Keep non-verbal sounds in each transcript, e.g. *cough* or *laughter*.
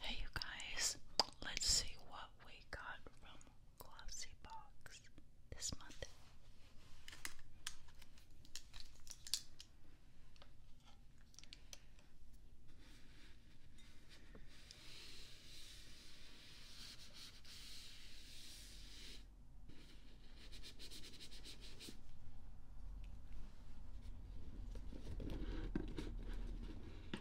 Hey you guys, let's see what we got from Glossy Box this month.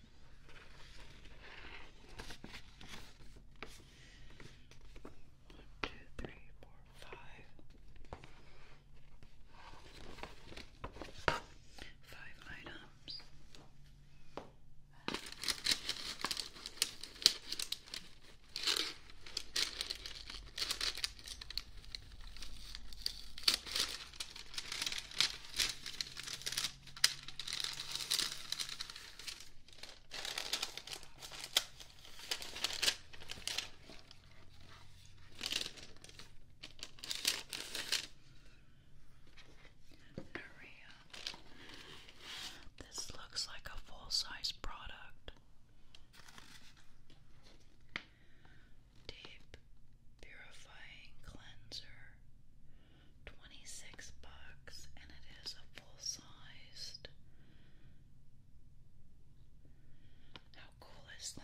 One, two, three, four, five. Five items. Maria, this looks like a full size product deep purifying cleanser 26 bucks and it is a full-sized how cool is that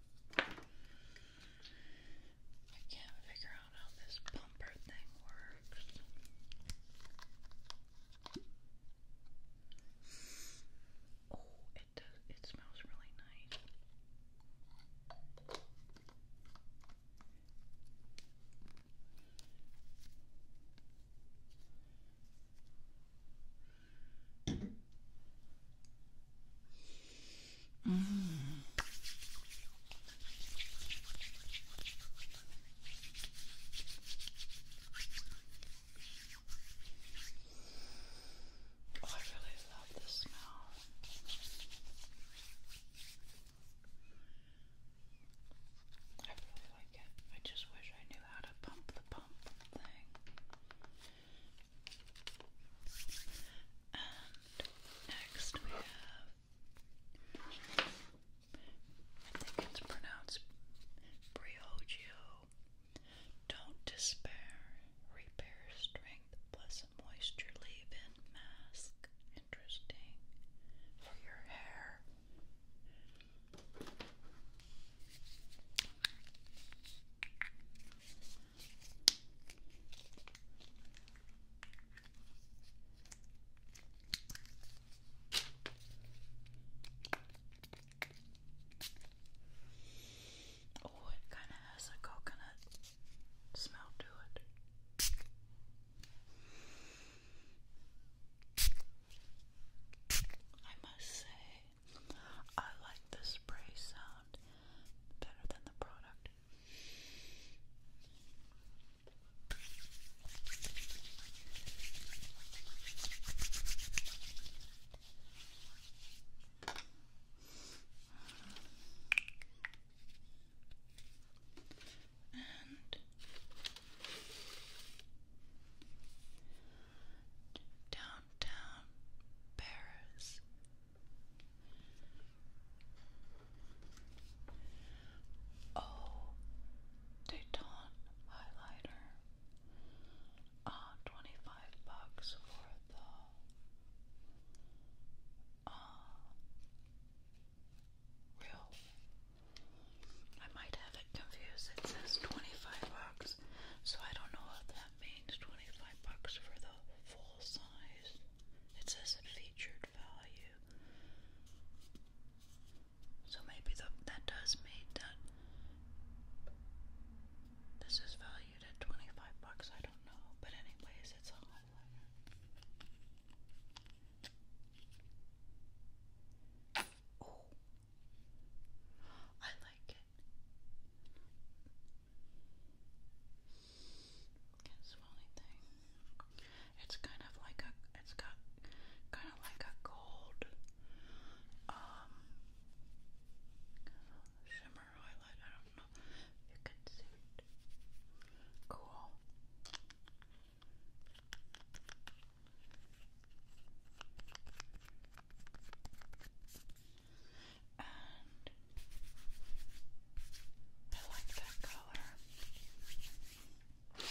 I can't figure out how this bumper thing works. Oh, it does. It smells really nice. Mm. Oh, I really love the smell. I really like it. I just wish I knew how to pump the pump thing next we have, I think it's pronounced Briogeo. Don't despair, repair strength, plus moisture leave in mask. Interesting for your hair. Oh, it kind of has a coconut smell to it. I must say, I like the spray sound better than the product. And down downtown Paris. Oh, Dayton highlighter. Uh, 25 bucks for the uh, real. I might have it confused. It says 25 bucks. So I don't know what that means. Twenty five bucks for the full size. It says featured value. So maybe that does mean that this is valued at twenty five bucks. I don't know, but anyways, it's a highlighter. I like it. It's kind of like a. It's got kind of like a gold um, shimmer highlight. I don't know you can see it. Cool and I like that color. And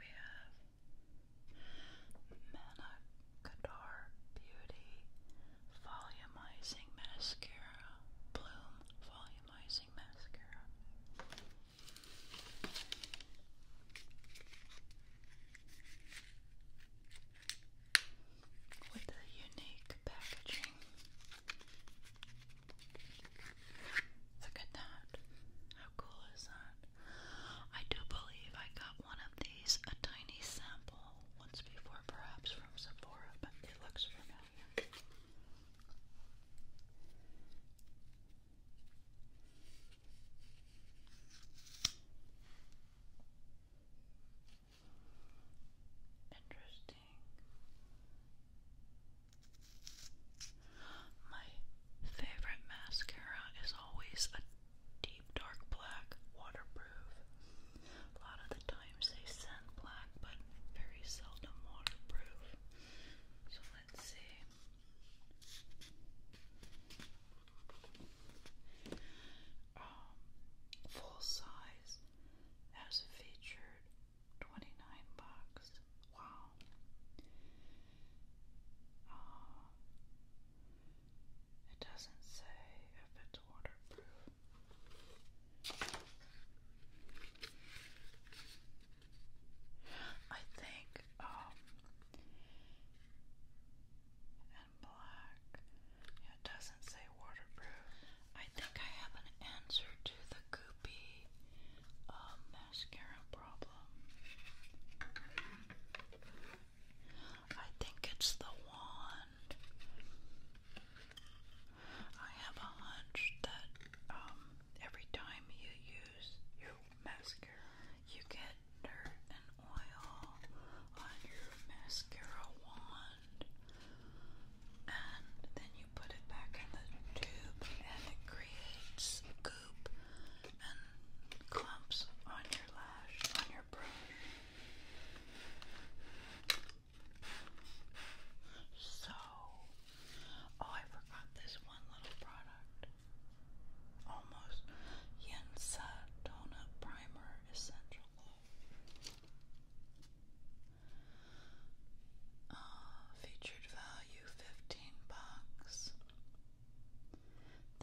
we have Manacador Beauty Volumizing Mascara, Bloom Volumizing Mascara with a unique packaging. Look at that. How cool is that? I do believe I got one of these, a tiny sample, once before, perhaps from Sephora, but it looks familiar. Interesting. My favorite mascara is always a deep dark black, waterproof. A lot of the times they send black, but very seldom waterproof. So let's see. Um, full size as featured, twenty nine bucks. Wow. Uh, it doesn't say if it's waterproof. I think um, it doesn't say waterproof. I think I have an answer to the goopy uh, mascara problem. I think it's the wand. I have a hunch that um, every time you use your mascara, you get dirt and oil on your mascara wand, and then you put it back in the tube, and it creates goop and clumps on your lash, on your brush. So, oh, I forgot this one little product almost Yensa Donut Primer Essential Oil. Uh, featured value 15 bucks.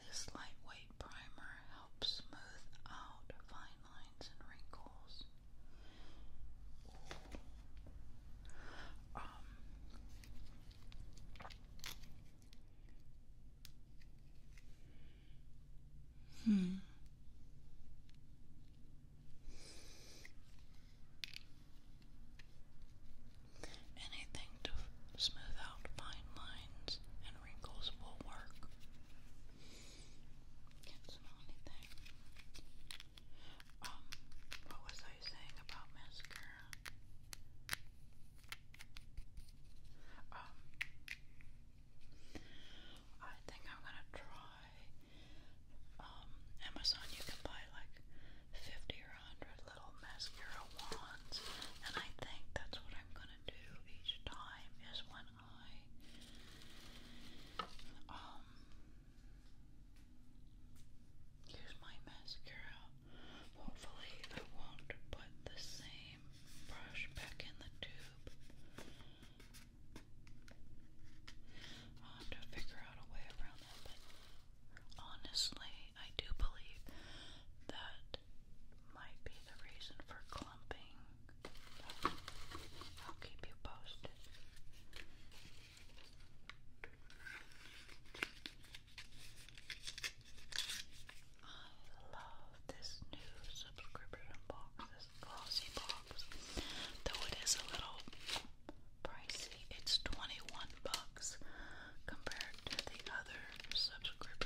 This lightweight primer helps smooth out fine lines and wrinkles. Hmm. Anything to smooth out fine lines and wrinkles will work. Can't smell anything. Um, what was I saying about mascara? Um, I think I'm gonna try. Um, Amazon, you can buy like fifty or hundred little mascara wands, and I think that's what I'm gonna do each time. Is when I um, use my mascara Hopefully, I won't put the same brush back in the tube. i have to figure out a way around that, honestly, I do believe that might be the reason for clumping. I'll keep you posted. I love this new subscription box, this glossy Though it is a little pricey, it's 21 bucks compared to the other subscriptions.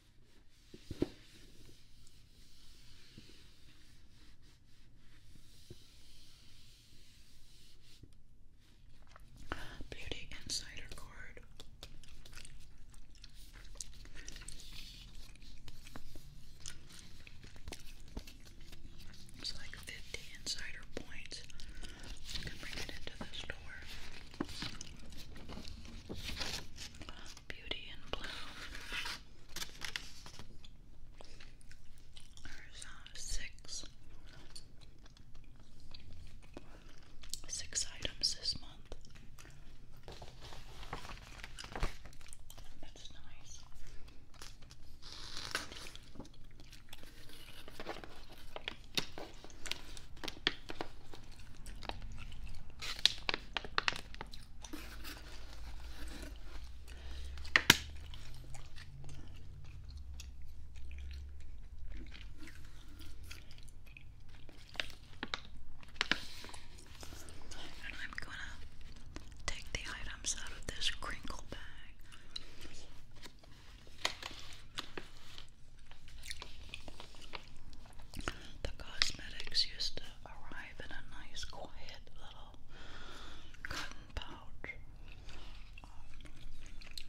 Beauty Insider card. It's like 50 insider points. You can bring it into the store. Beauty in Blue. There's six, six items this month. That's nice. And I'm gonna take the items out of this crinkle bag. The cosmetics used to arrive in a nice, quiet little cotton pouch. Um,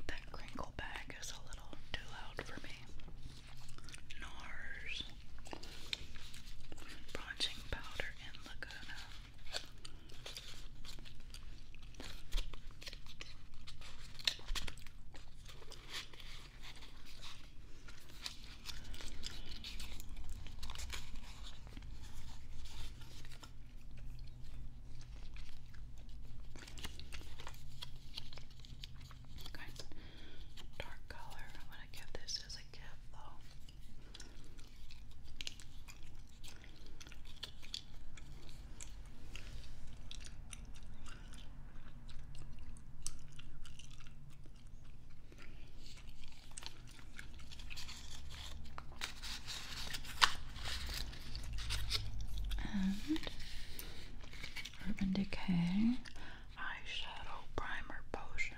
that crinkle bag is a little too loud for me. NARS bronzing powder in Laguna. Kind of dark color. I'm to give this as a gift though. And Urban Decay Eyeshadow Primer Potion.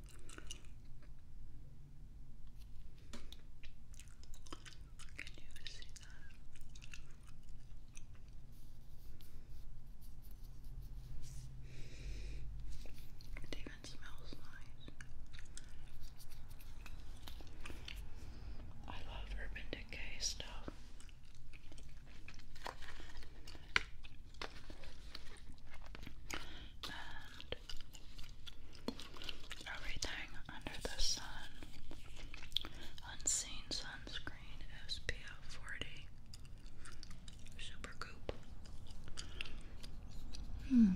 Can you see that? It even smells nice. I love Urban Decay stuff. Um, everything under the sun. Unseen sunscreen SPF 40. Super Goop. Hmm.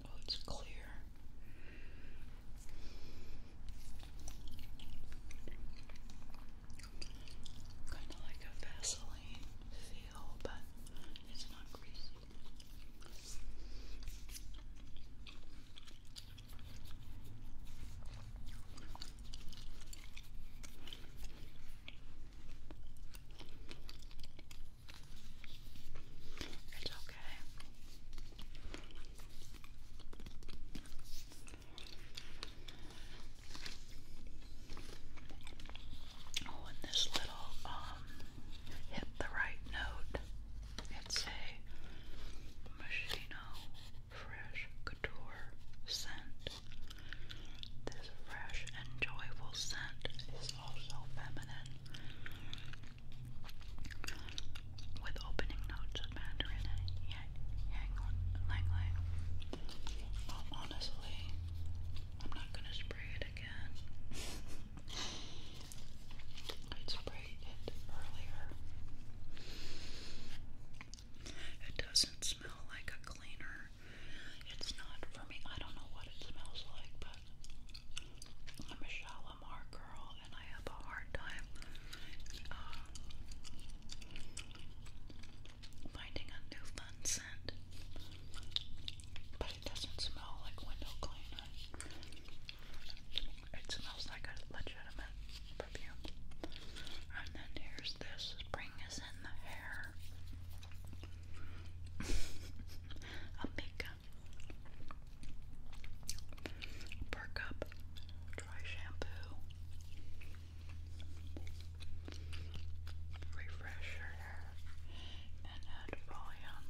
Oh, it's clear kind of like a Vaseline feel, but it's not greasy. It's okay. Oh, this little um hit the right note. It's a Machino Fresh Couture scent. This fresh and joyful scent is also feminine. With opening notes of mandarin hang on, lang honestly, I'm not gonna spray it again. I'd sprayed it earlier. It doesn't smell like a cleaner. It's not for me. I don't know what it smells like, but I'm a Shalimar girl and I have a hard time uh, finding a new fun scent, but it doesn't smell like window cleaner. It smells like a legitimate perfume. And then here's this spring is in the hair. Amika. *laughs* Perk up. Dry shampoo refresh her hair and add volume.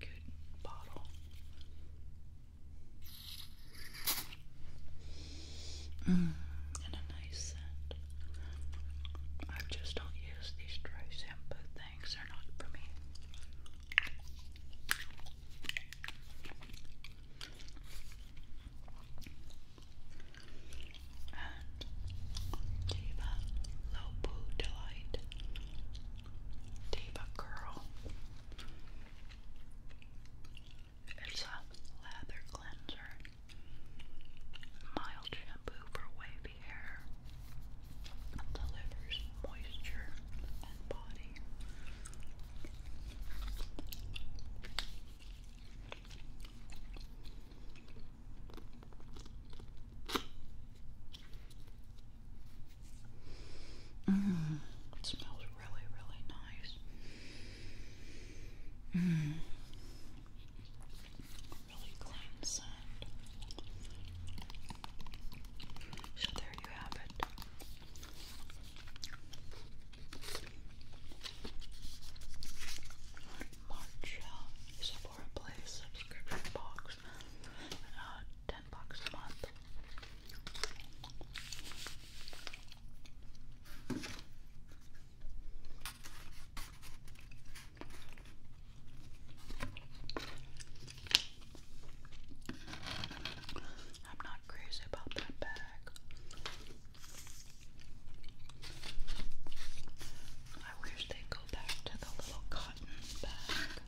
Good bottle. Mm, and a nice scent. I just don't use these dry shampoo things, they're not for me and Diva Delight, Diva Curl. It's a lather cleanser, mild shampoo for wavy hair, delivers moisture and body Mm, it smells really, really nice. Really clean scent. So there you have it. March is place subscription box. Uh, ten bucks a month. I'm not crazy about that bag. I wish they'd go back to the little cotton bag.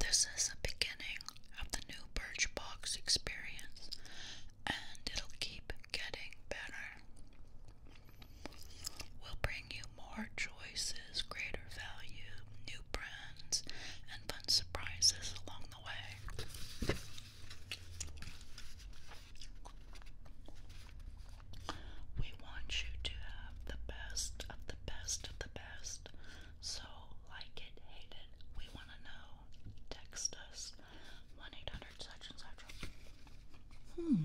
This is the beginning of the new Birchbox experience, and it'll keep getting better. We'll bring you more choices, greater value, new brands, and fun surprises along the way. We want you to have the best of the best of the best. So, like it, hate it, we want to know. Text us 1 800 such and such. Hmm.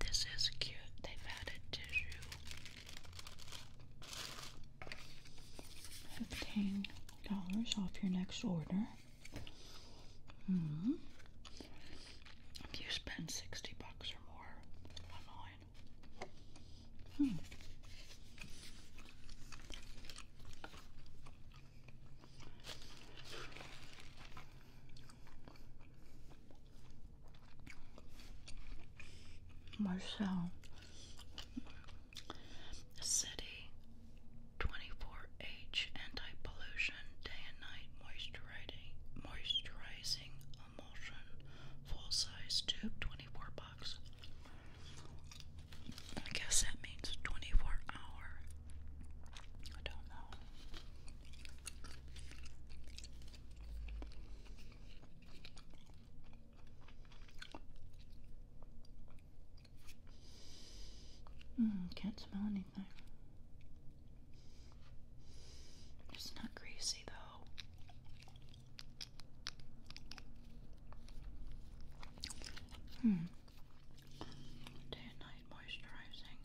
This is cute. They've added tissue. Fifteen dollars off your next order. hmm. If you spend sixty bucks or more online. Hmm. Marcel City 24H Anti-Pollution Day and Night Moisturizing Moisturizing Emulsion Full Size Tube 24 bucks. I guess that means 24 hour. I don't know. Mm, can't smell anything. It's not greasy though. Hmm. Day and night moisturizing.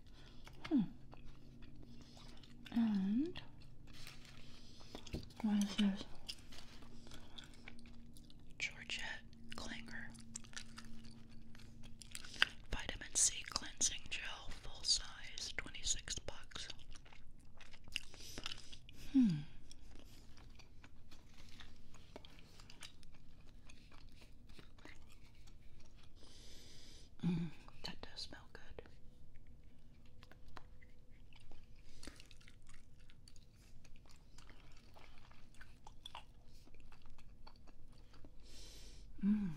Hmm. And what is this? Georgia Klinger Vitamin C Cleansing Gel, full size, 26 bucks. Hmm. Mm, that does smell good. Mm.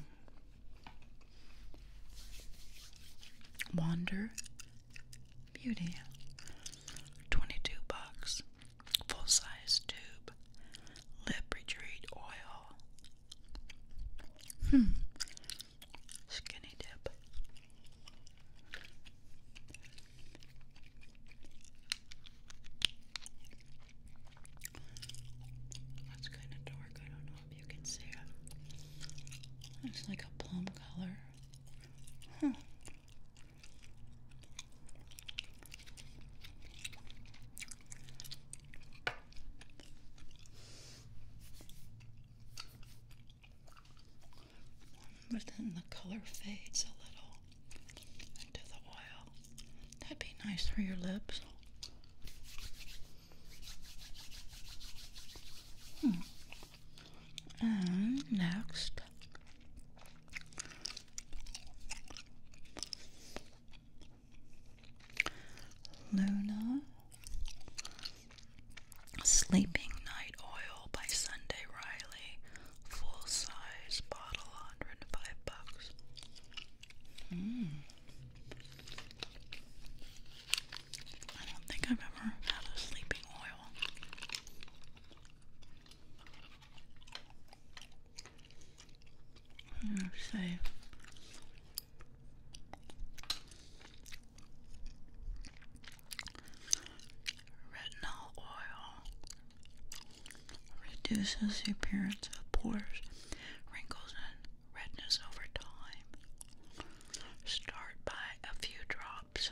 Wander Beauty. 22 bucks. Full size tube. Lip retreat oil. Hmm. Skinny dip. That's kind of dark. I don't know if you can see it. It's like a plum color. Huh. But then the color fades a little into the oil. That'd be nice for your lips. Hmm. And next, Luna Sleeping Night Oil by Sunday Riley. Full size bottle, 105 bucks. Mm. I don't think I've ever had a sleeping oil. Hmm, say Retinol oil reduces the appearance of pores, wrinkles, and redness over time. Start by a few drops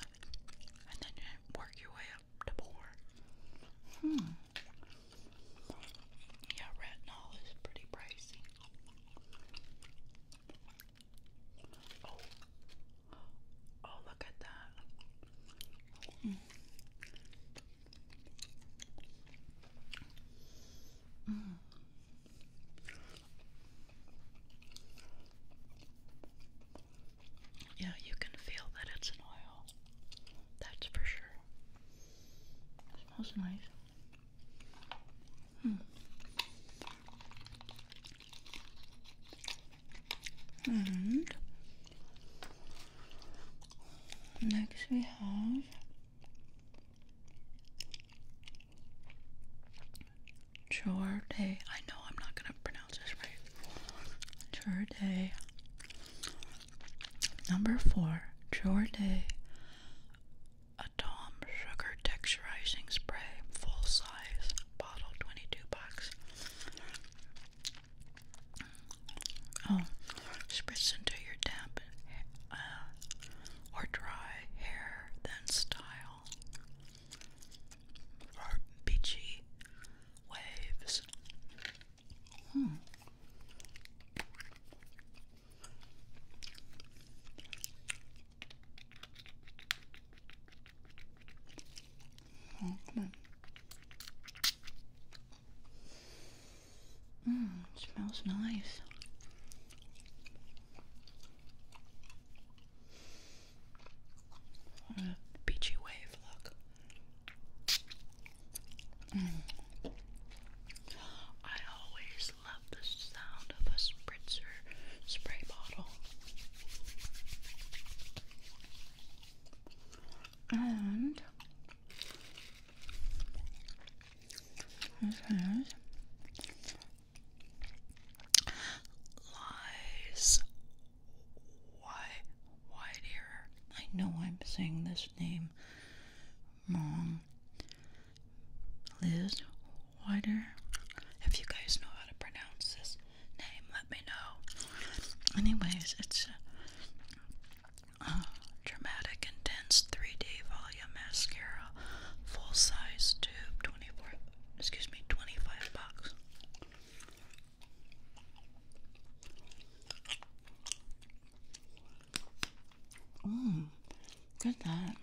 and then work your way up to more. Hmm. Yeah, retinol is pretty pricey. Oh, oh, look at that. Mm. Yeah, you can feel that it's an oil. That's for sure. smells nice. Hmm. And next we have Chorday. I know I'm not gonna pronounce this right. Chorday. Number four, Chorday Tom Sugar Texturizing Spray, full size, bottle 22 bucks. Oh, spritz into your damp uh, or dry hair, then style. Or beachy waves. Hmm. Oh, come Mmm, smells nice. What wave, look. Mm. I always just love the sound of a spritzer spray bottle. And this is Lies Why White Ear. I know I'm saying this name wrong. Liz Wider. If you guys know how to pronounce this name, let me know. Anyways, it's a, a uh, dramatic, intense 3D volume mascara, full size tube, 24, excuse me, 25 bucks. Mmm, good that.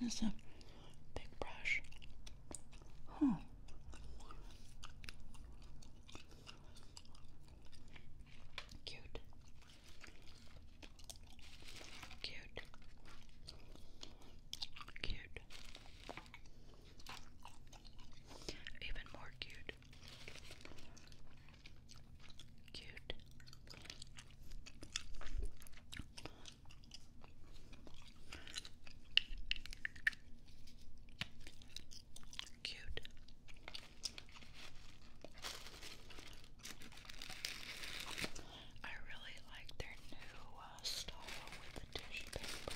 That is a big brush. Huh. Cute. Cute. Cute. Even more cute. Cute. Cute. I really like their new uh, style with the dish paper.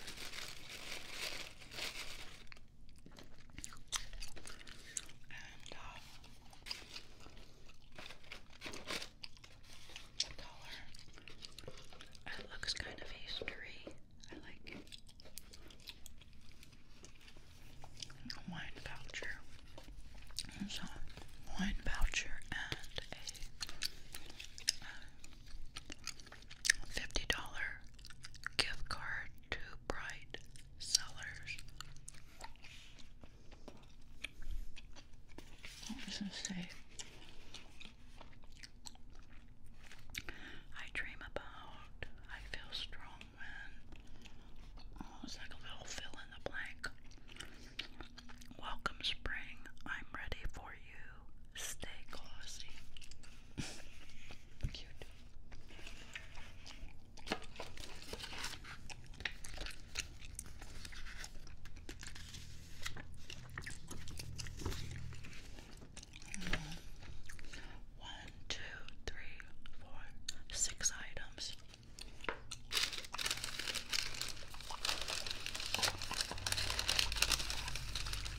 Uh, it looks kind of history. I like Wine voucher. So wine voucher and a uh, $50 gift card to Bright Sellers. What does it say? I dream about, I feel strong when, oh, it's like a little fill in the blank. Welcome spring, I'm ready for you. Stay cozy. Cute. One, two, three, four, six items.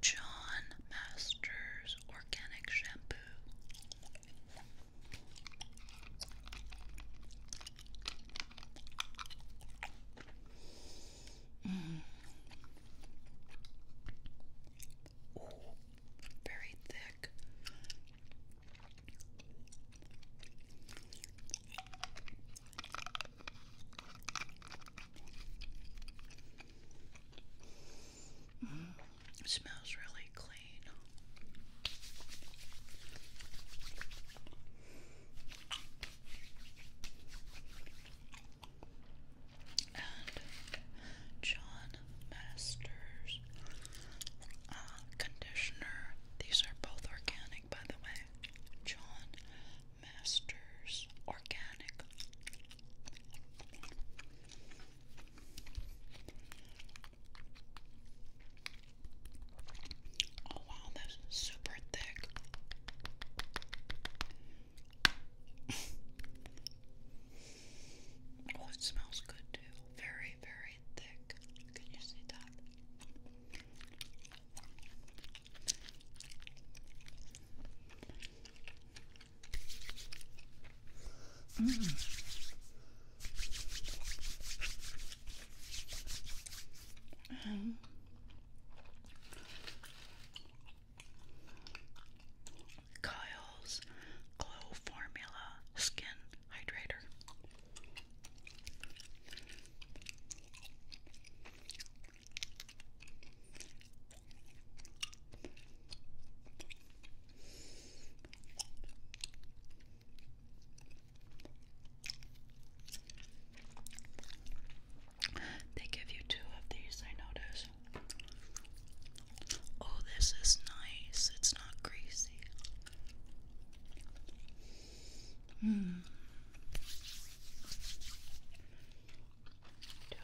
John Masters Organic Shampoo. Mm. Ooh, very thick. Mm. smells really clean. And John Masters uh, conditioner. These are both organic, by the way. John Masters Organic. Oh wow, that's super thick. *laughs* oh, it smells good too. Very, very thick. Can you see that? Mm. Um, Kyle's Glow Formula Skin Hydrator. They give you two of these, I notice. Oh, this is nice. It's not greasy. Hmm. Two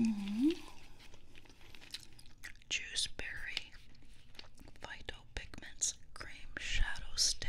of mm-hmm. Juice berry, pigments, cream shadow stick.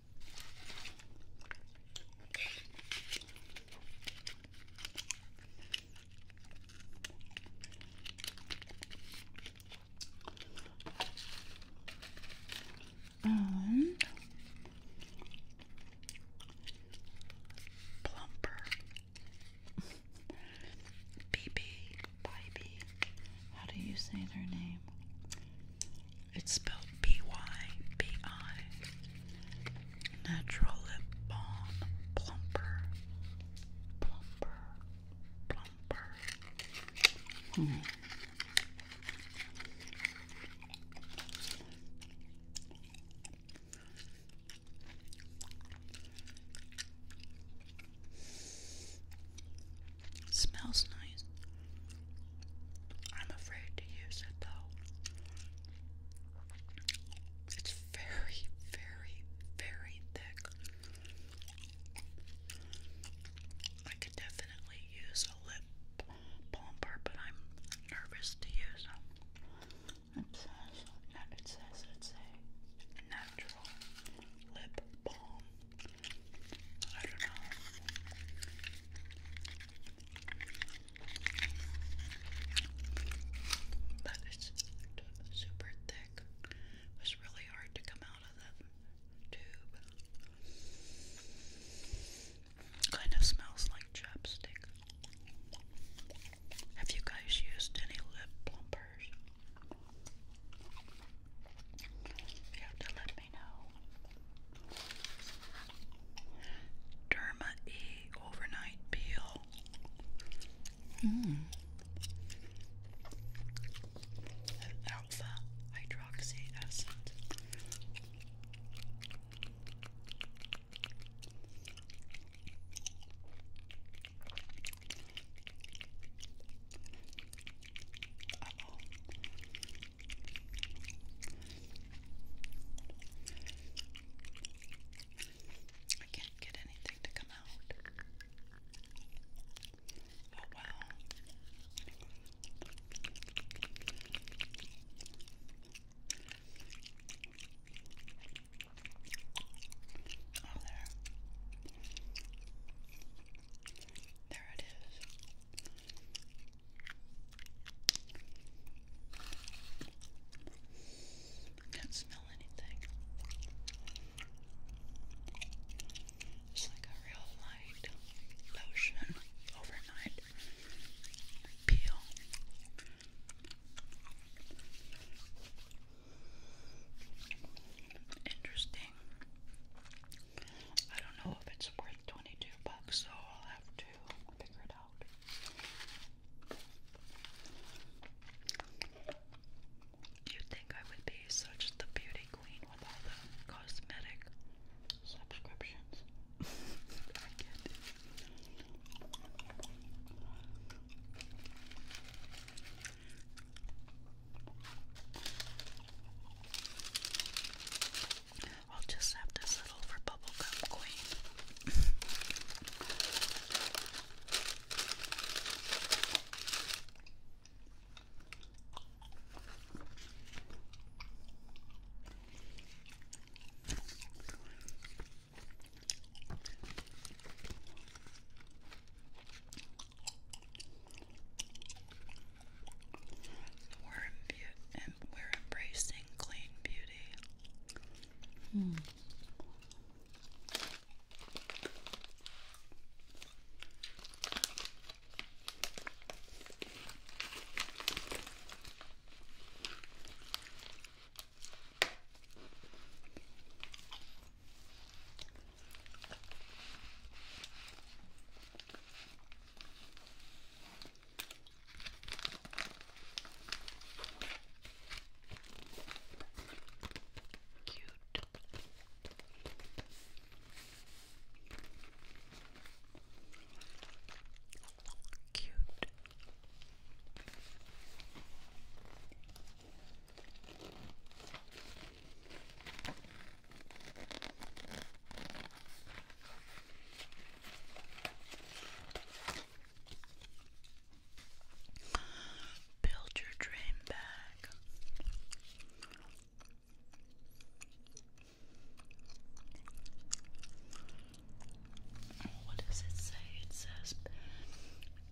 Um, plumper BB, Bibi, how do you say their name? It's spelled B Y B I. Natural Lip Balm Plumper. Plumper. Plumper. Hmm. Smells nice. I'm afraid to use it though. It's very, very, very thick. I could definitely use a lip plumper, but I'm nervous to use It it says it's a natural lip balm. I don't know. But it's super thick. It was really hard to come out of that tube. Kind of smells like chapstick. Have you guys used any lip plumpers? Derma E Overnight Peel. Mm. alpha hydroxy acid. I can't get anything to come out. Oh wow. Oh, there. There it is. I can't smell anything. It's like a real light lotion overnight peel. Interesting. I don't know if it's worth 22 bucks, so I'll have to to you think I would be such the beauty queen with all the cosmetic subscriptions. *laughs* I'll just have this little for Bubblegum Queen. We're, we're embracing clean beauty. Hmm. Cute. Cute. Build your dream back. What does it say? It says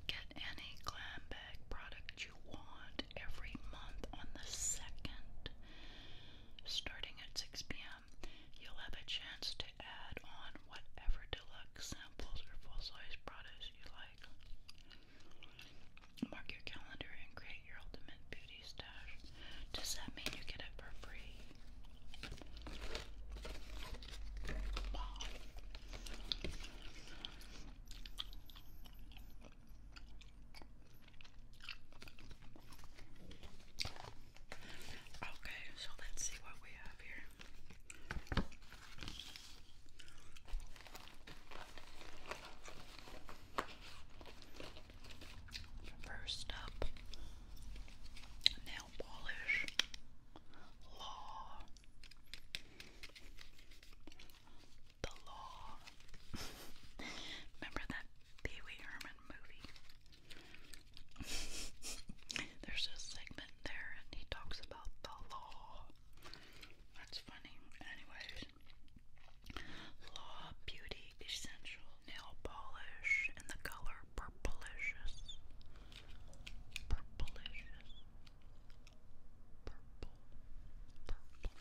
get any glam bag product you want every month on the second, starting at 6 p.m them, you'll have a chance to add on whatever deluxe samples or full-size products you like. Mark your calendar and create your ultimate beauty stash. Does that mean you get it for free? Okay, so let's see what we have here. First up, nail polish law. The law. *laughs* Remember that Pee Wee Herman *laughs* There's a segment there, and he talks about the law. That's funny. Anyways, law, beauty, essential, nail polish, and the color purplicious. Purplicious. Purple. Purple.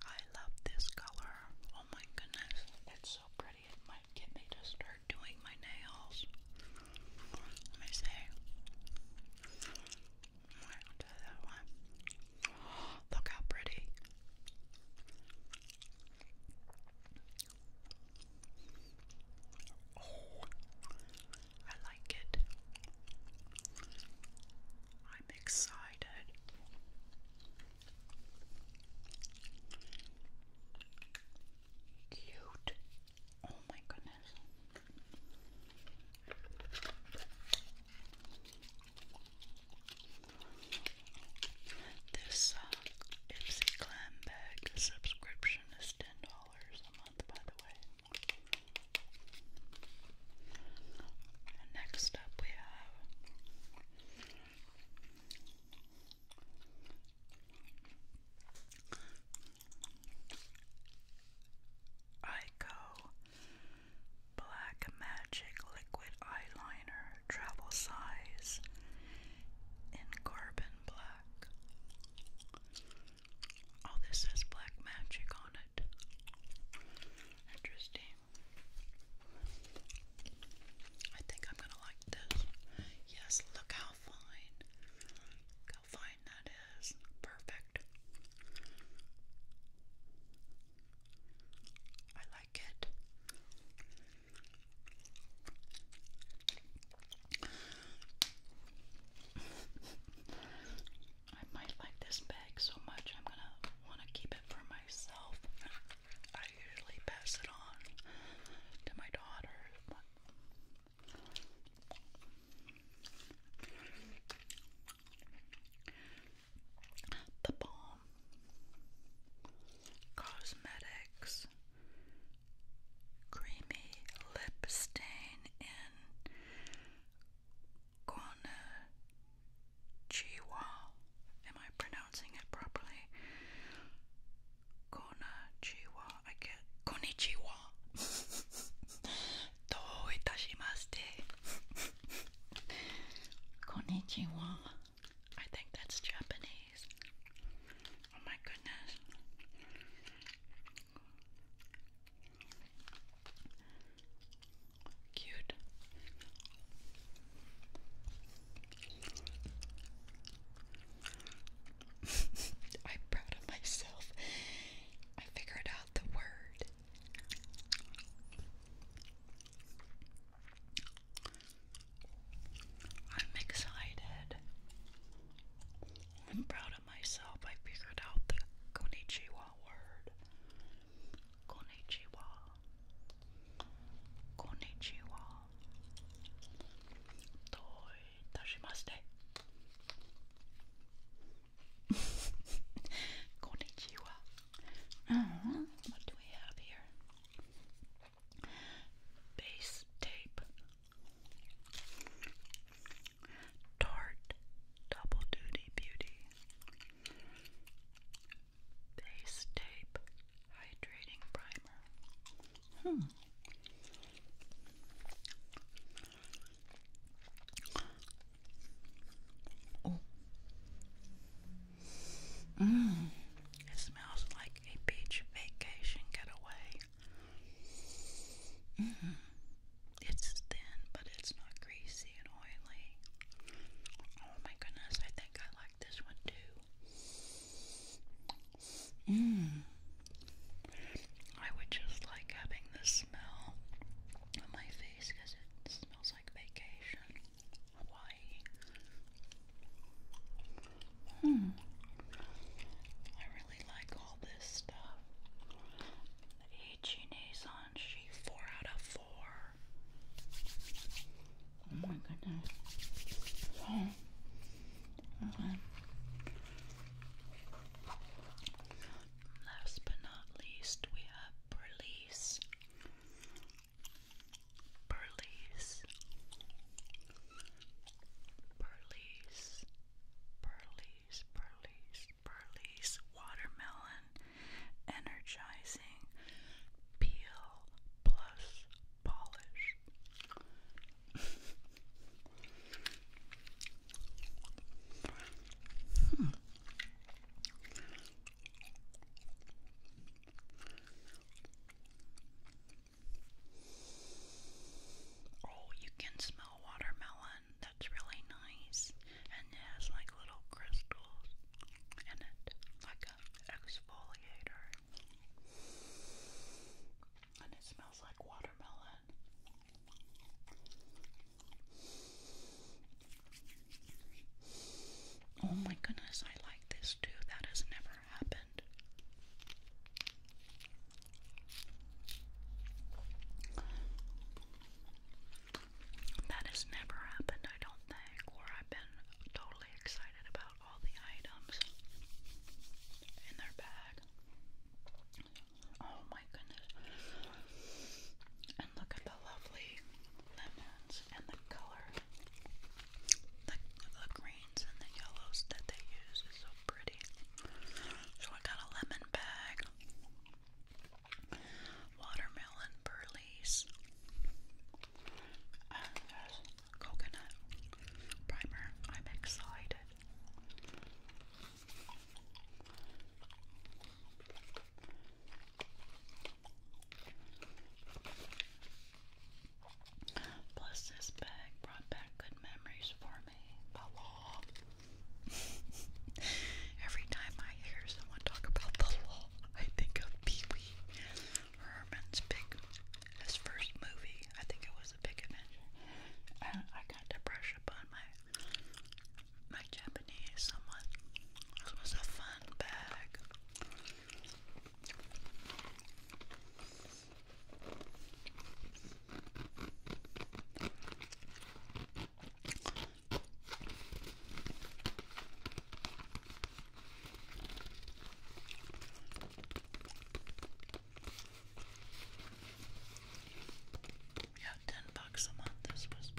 I love this color. Oh my goodness, it's so pretty. It might get me to start doing my nails. Let me see. Right, I'll do that one. *gasps* look how pretty. I like it. I'm excited. Cute. Oh my goodness. This uh, Ipsy Clam bag subscription is $10 a month, by the way. And next up we have Ico Black Magic Liquid Eyeliner Travel Size in Carbon Black. Oh, this says Black Magic on interesting. I think I'm gonna like this. Yes, look how fine. how fine that is. Perfect. I like it. I might like this bag so much I'm gonna want to keep it for myself. I usually pass it on to my daughter, the Balm Cosmetics Creamy Lip Stain in Konichiwa. Am I pronouncing it properly? Konichiwa. I get Konichiwa. Dou *laughs* itashimashite. Konichiwa. I think that's Japanese. Oh my goodness. Cute. *laughs* I'm proud of myself. I figured out the word. I'm excited. I'm proud myself. I figured out the konichiwa word. Konnichiwa. Konnichiwa. Toi tashimaste. *laughs* what do we have here? Base tape. Tarte Double Duty Beauty Base Tape Hydrating Primer. Hmm. Oh. Mmm. It smells like a beach vacation getaway. Mm. It's thin, but it's not greasy and oily. Oh my goodness, I think I like this one too. Mmm. I would just like having the smell on my face because it smells like vacation, Hawaii. Mmm. I really like all this stuff. Ichi Nason, she four out of four. Oh my goodness. Last but not least, we have Berlice. Berlice. Berlice. Berlice. Berlice. Burley's Watermelon Energizing Peel Plus Polish. hmm. Oh, you can smell watermelon that's really nice and it has like little crystals in it, like an exfoliator. And it smells like watermelon. Oh my goodness, I like this too. That has never happened. That has never happened, I don't think, where I've been totally excited about all the items in their bag. Oh my goodness. And look at the lovely lemons and the color. The, the greens and the yellows that they use is so pretty. So I got a lemon bag watermelon burleys, and coconut primer. I'm excited. Plus, this bag brought back good memories for me. Hello. Every time I hear someone talk about the law, I think of Pee Wee Herman's big, his first movie. I think it was The Big Adventure. I got to brush up on my my Japanese somewhat. This was a fun bag. Yeah, ten bucks a month. This was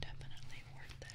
definitely worth it.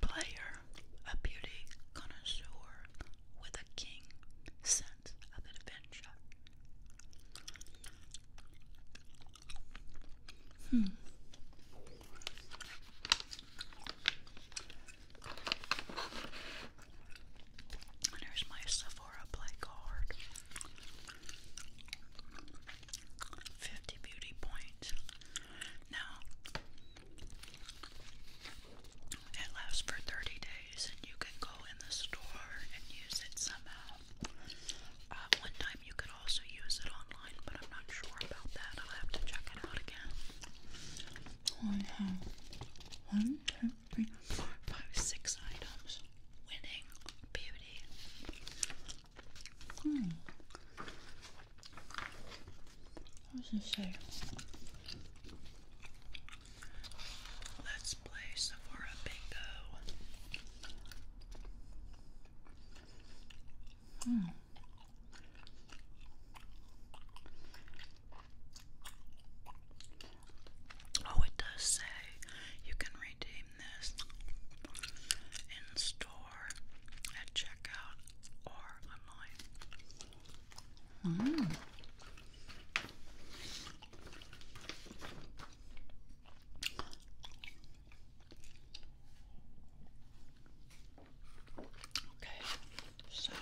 Player, a beauty connoisseur with a keen sense of adventure Hmm. There's my Sephora play card. Fifty beauty points. Now it lasts for 30 days, and you can go in the store and use it somehow. Uh, one time you could also use it online, but I'm not sure about that. I'll have to check it out again. I have one, two, three, four, five, six items. Winning beauty. Hmm. What does it say? Let's play Sephora Bingo. Hmm. Oh, it does say you can redeem this in store at checkout or online. Mm. Okay, so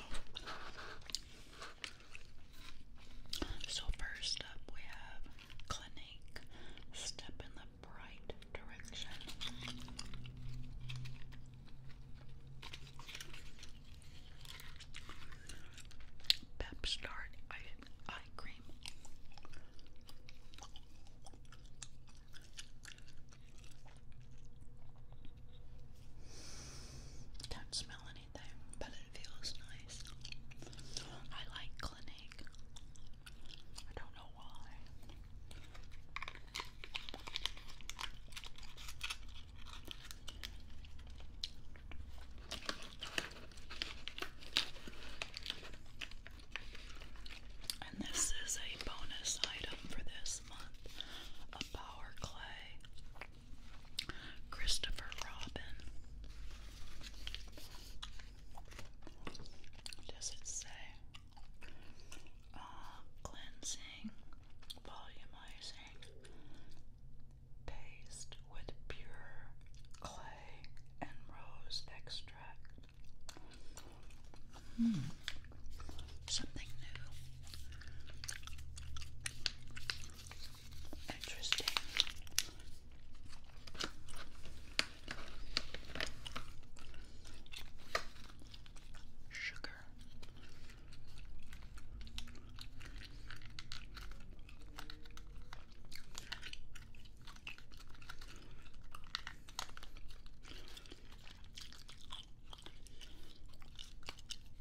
so first up we have Clinique Step in the Bright Direction. Pep Start eye, eye cream. Don't smell anything, but it feels nice. I like Clinique. I don't know why. And this is a bonus item for this month a power clay. Christopher Robin. Does it say? Uh, cleansing, volumizing, paste with pure clay and rose extract. Hmm. Something new. Interesting. Sugar.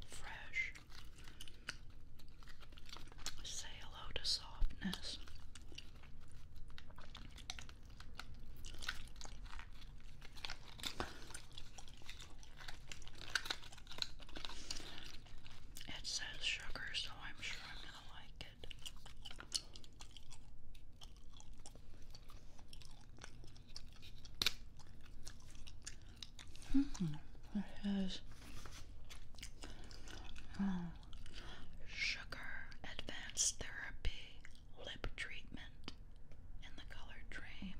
Fresh. Say hello to softness. It says sugar, so I'm sure I'm gonna like it. -hmm. It has uh, sugar advanced therapy lip treatment in the color dream.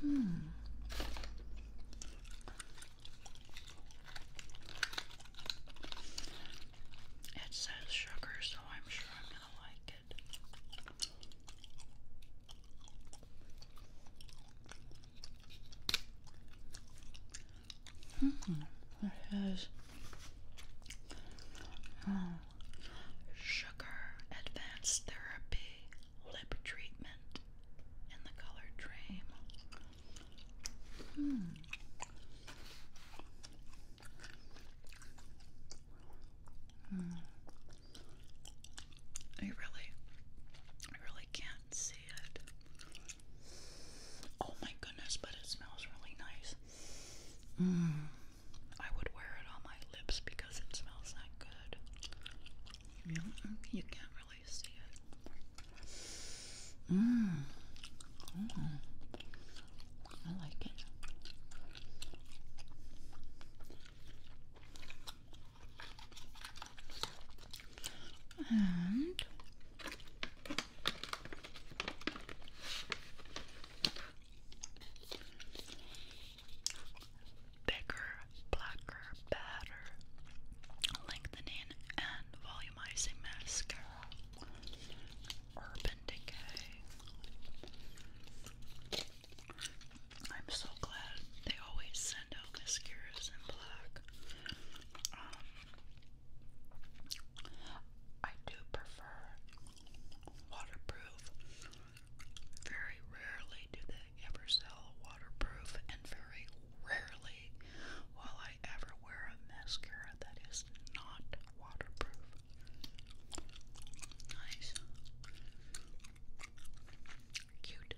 Hmm. It says sugar, so I'm sure I'm going to like it. -hmm. It has hmm. sugar advanced therapy lip treatment in the color Dream. Hmm. hmm. I really, I really can't see it. Oh my goodness, but it smells really nice. Mm. I would wear it on my lips because it smells that good. You, can't really see it. Mmm. I like it. And bigger, blacker, better lengthening and volumizing mascara. Urban Decay. I'm so glad they always send mascaras in black. Um, I do prefer waterproof very rarely do they ever sell waterproof, and very rarely will I ever wear a mascara that is not waterproof. Nice. Cute.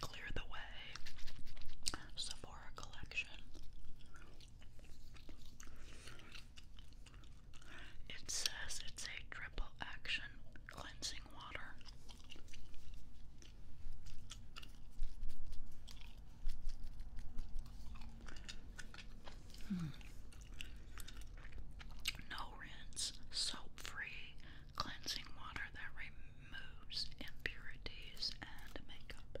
Clear the way. Sephora collection. It says it's a triple action cleansing Hmm. No rinse, soap free cleansing water that removes impurities and makeup.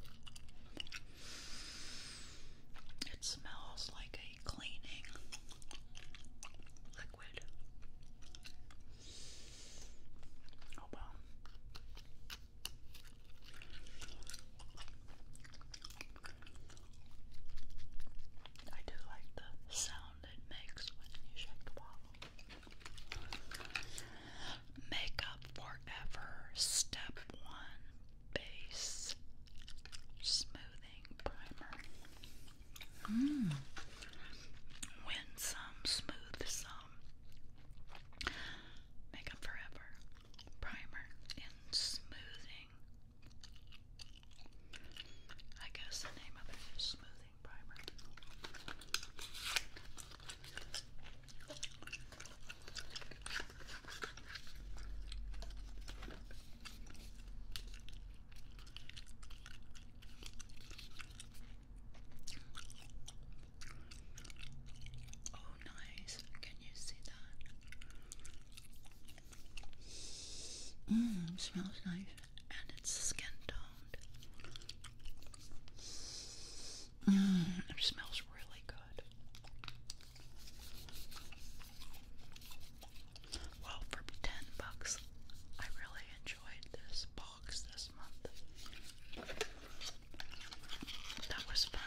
It smells like a cleaning liquid. Oh, I do like the sound it makes when you shake the bottle. Makeup Forever Step 1 Base Smoothing Primer. Mm. Winsome, smooth Makeup Forever primer and smoothing. I guess the name of it is smoothing primer. Oh, nice. Can you see that? Mmm, smells nice. And it's skin toned. Mmm, it smells really good. Well, for 10 bucks, I really this box this month. That was fun.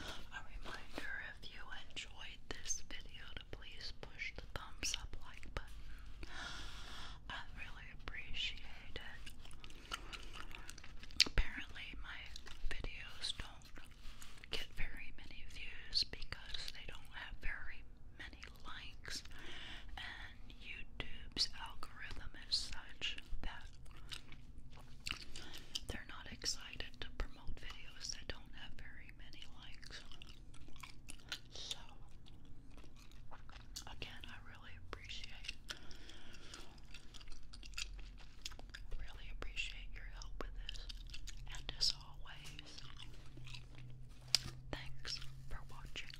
A reminder if you enjoyed this video please push the thumbs up like button. I really appreciate it. Apparently my videos don't get very many views because they don't have very many likes YouTube's algorithm is such that they're not excited to promote videos that don't have very many likes. So, again, I really appreciate, really appreciate your help with this. And as always, thanks for watching.